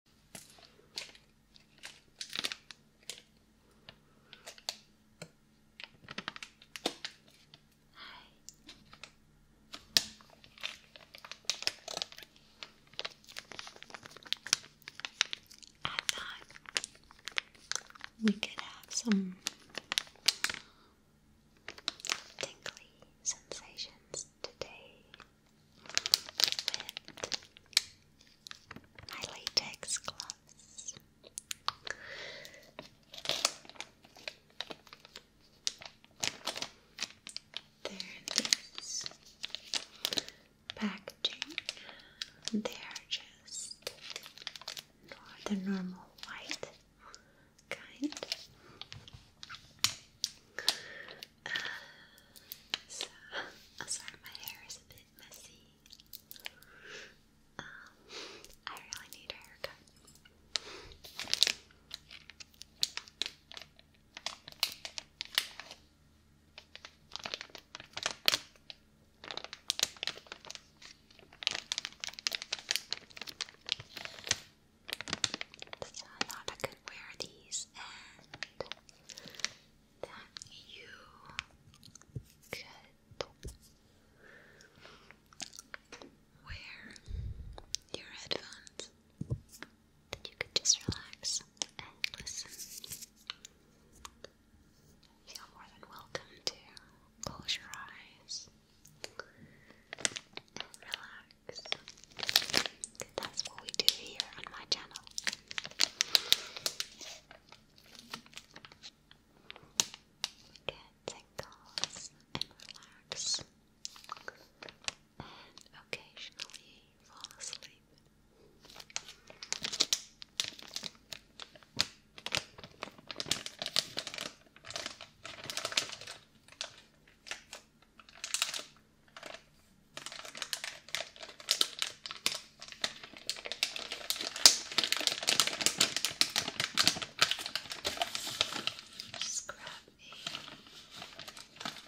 I thought we could have some tingly sensations today with my latex gloves. There is packaging. They are just the normal white kind. Uh, so, sorry my hair is a bit messy. Um, I really need a haircut. So I I could wear these and that you could wear your headphones, that you could just relax and listen. Feel more than welcome to close your eyes and relax. That's what we do here on my channel. Get tingles and relax, and occasionally fall asleep. Just grab a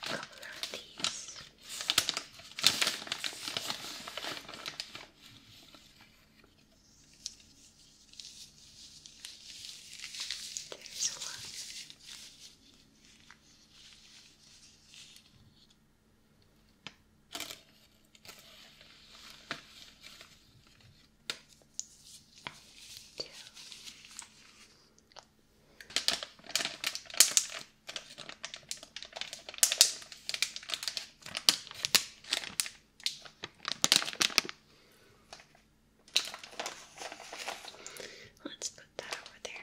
couple of these. There's one. Two. Let's put that over there.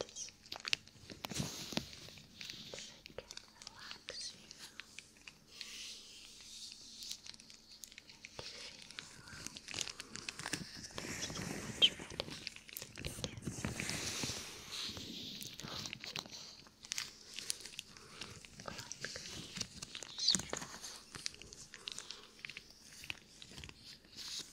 hands so I can relax you make you feel so much better Relax.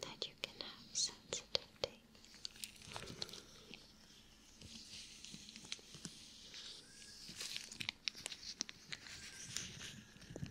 That you can have sensitivity.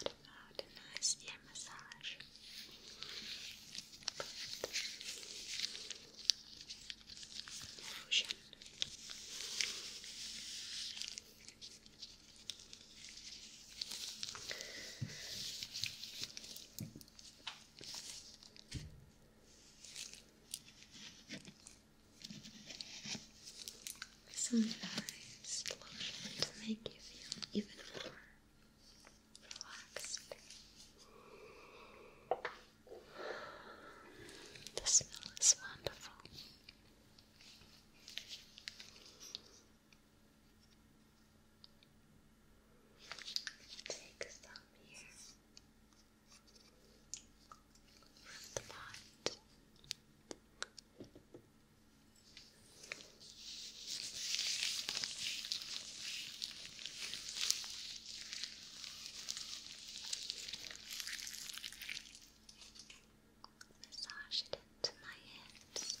What about a nice ear massage? Lotion. This Some nice lotion to make you feel even more relaxed. The smell is wonderful. Take some here from the pot. Massage it into my hands.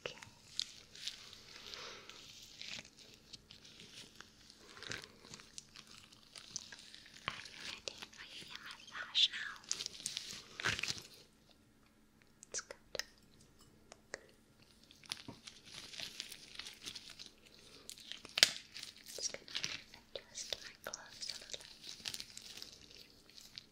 Okay. Are you ready for your massage now? It's good. Just gonna just my gloves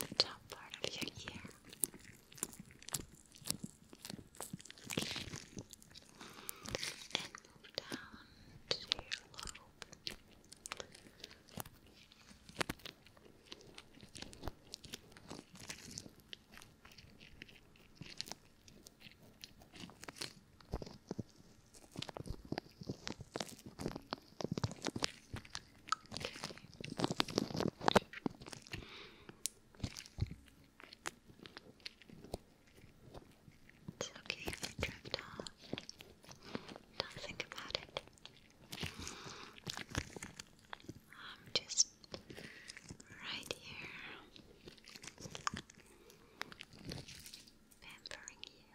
the top part of your ear. And down to your lobe. It's okay drift off. do about it. I'm just right here pampering you.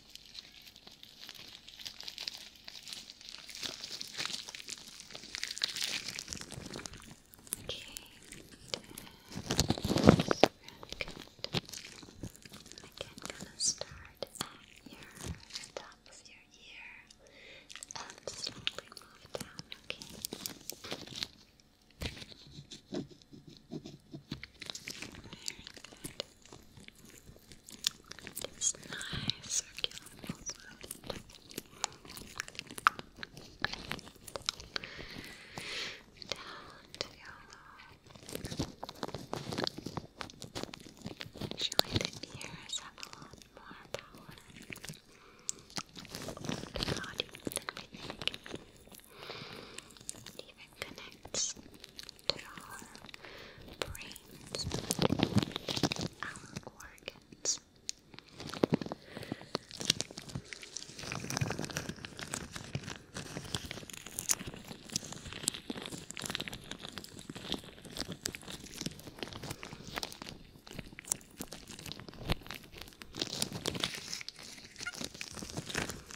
Again, gonna start at your the top of your ear and slowly move down, okay? good. This nice circular movement. Down to your lobe. Actually, the ears have a lot more power the body than we think. And that connects our brains, our organs.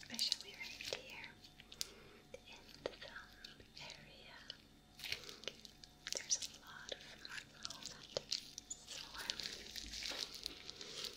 Especially right here in the thumb area. There's a lot of muscle that is warm. Fingers.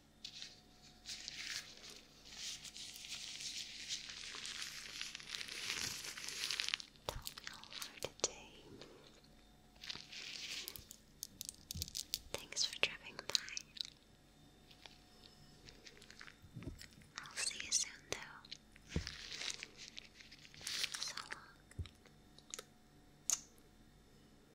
all for Thanks for dropping by. I'll see you soon, though. So long.